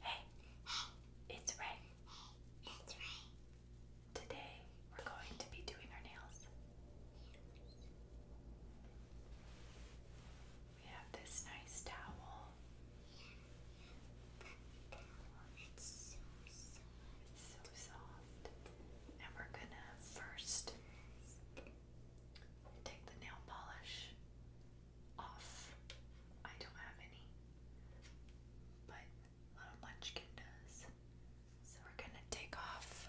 Hey, it's Ray. It's Ray. Today we're going to be doing our nails. We have this nice towel so soft. And we're gonna first take the nail polish off. I don't have any, but little munchkin does. So we're gonna take off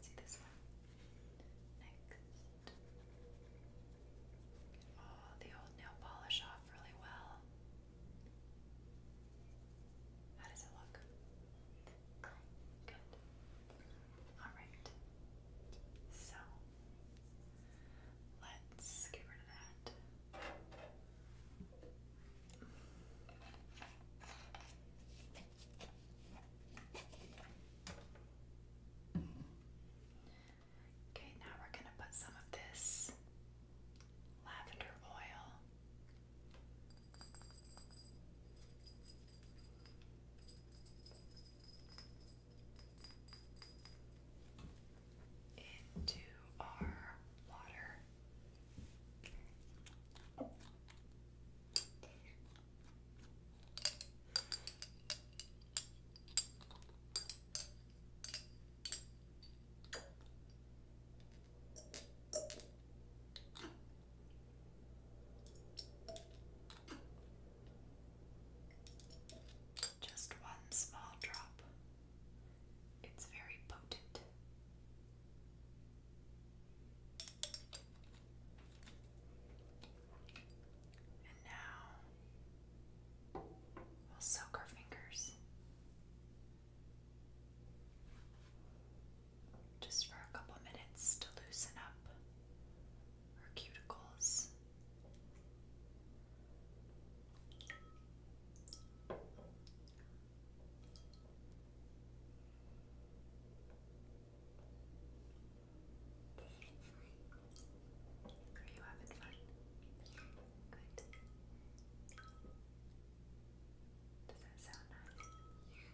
See this one? Next. Get oh, all the old nail polish off really well. How does it look? Good. Good. Alright. So let's get rid of that. Okay, now we're going to put some of this lavender oil into our water. Just one small drop. It's very potent. And now we'll soak our fingers just for a couple minutes to loosen up her cuticles. Are you having fun? Good. Does that sound nice? Yeah.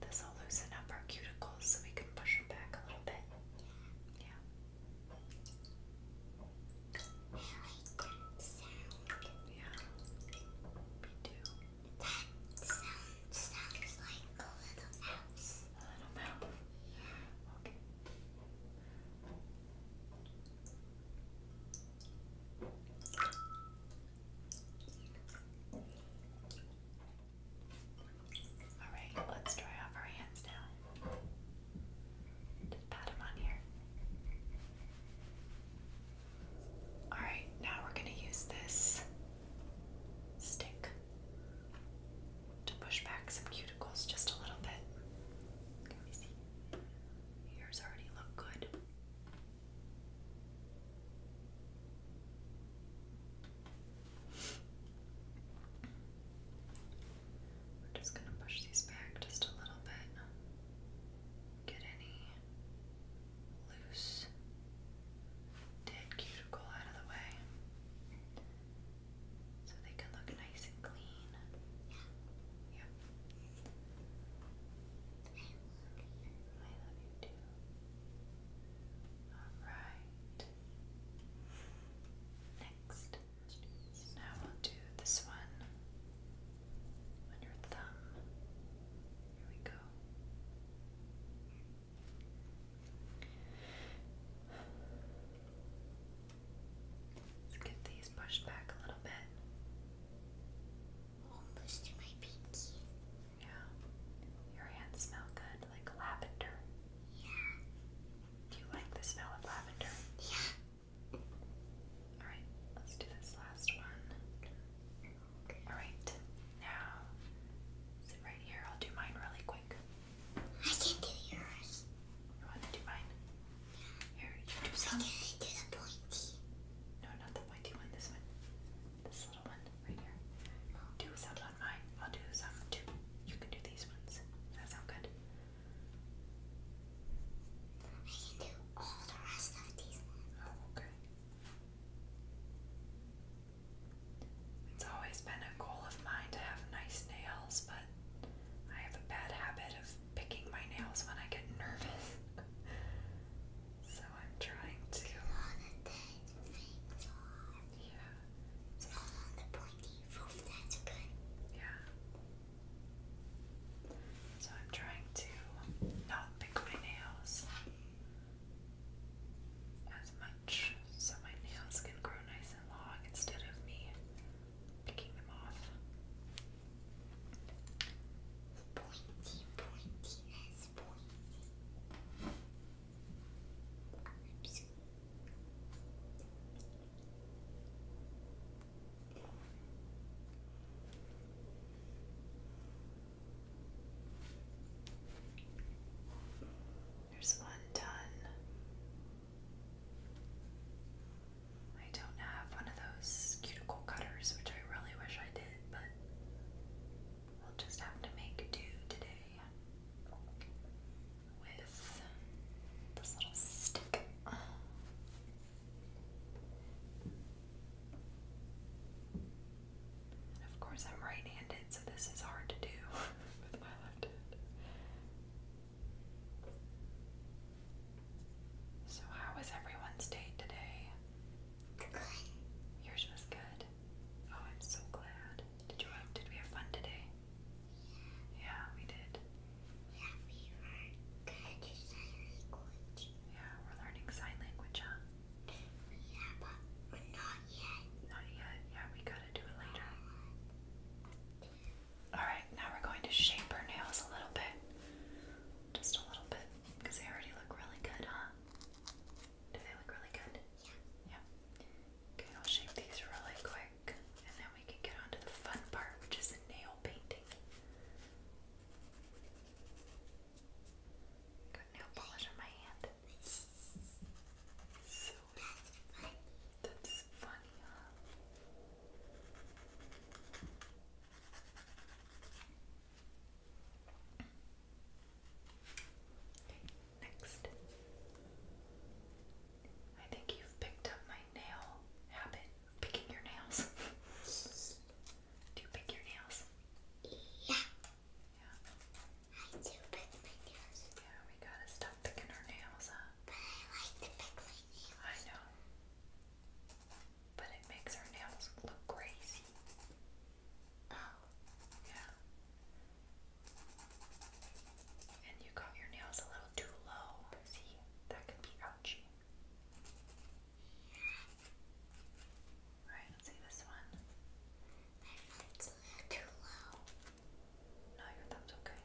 This will loosen up our cuticles so we can push them back a little bit. Yeah. I that sound. Yeah. Me too. That sound sounds like a little mouse. I don't know. Alright, let's dry off our hands now. Just pat them on here. Alright, now we're going to use this stick to push back some cuticles just a little bit. Yours already look good. We're just going to push these back just a little bit. Get any loose dead cuticle out of the way so they can look nice and clean. Yeah. Yep. I love you too. Alright. Next. now we'll do this one on your thumb. Here we go. Get these pushed back a little bit. Almost to my pinky. Yeah. Your hands smell good, like lavender. Yeah. Do you like the smell of lavender? Yeah. Alright, let's do this last one. Alright, now sit right here. I'll do mine really quick. I can do yours. You want to do mine? Here, you do some. I can do the pointy. No, not the pointy one, this one. This little one right here. Do some on mine. I'll do some too. You can do these ones. Does that sound good? I can do all the rest of these oh, okay. It's always been a goal of mine to have nice nails, but I have a bad habit of picking my nails when I get nervous. so I'm trying to. Yeah. on the pointy Yeah. So I'm trying to not pick my nails as much so my nails can grow nice and long instead of me picking them off. There's one done. I don't have one of those cuticle cutters, which I really wish I did, but we'll just have to make do today with this little stick. Of course, I'm right handed, so this is hard to do So, how was everyone's day today? Good. Yours was good. Oh, I'm so glad. Did you did we have fun today? Yeah, we did. Yeah, we are going sign language. Yeah, we're learning sign language, huh? Yeah, but not yet. Not yet. Yeah, we gotta do it later. Alright, now we're going to shape our nails a little bit. Just a little bit. Because they already look really good, huh? Do they look really good? Yeah. Yeah. Okay, I'll shape these really quick and then we can get on the fun part, which is nail painting. Got nail polish on my hand. So that's funny, huh? Okay. Next. I think you've picked up my nail habit, picking your nails. do you pick your nails? Yeah. Yeah. I do pick my nails. Yeah, we gotta stop picking our nails, But I like to pick my nails. I know. But it makes our nails look crazy. Oh. Yeah. And you got your nails a little too low. See, that could be ouchy. Alright, let's see this one. I thought a little too low. No, your thumb's okay.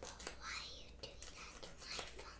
But why are you doing that to my thumb?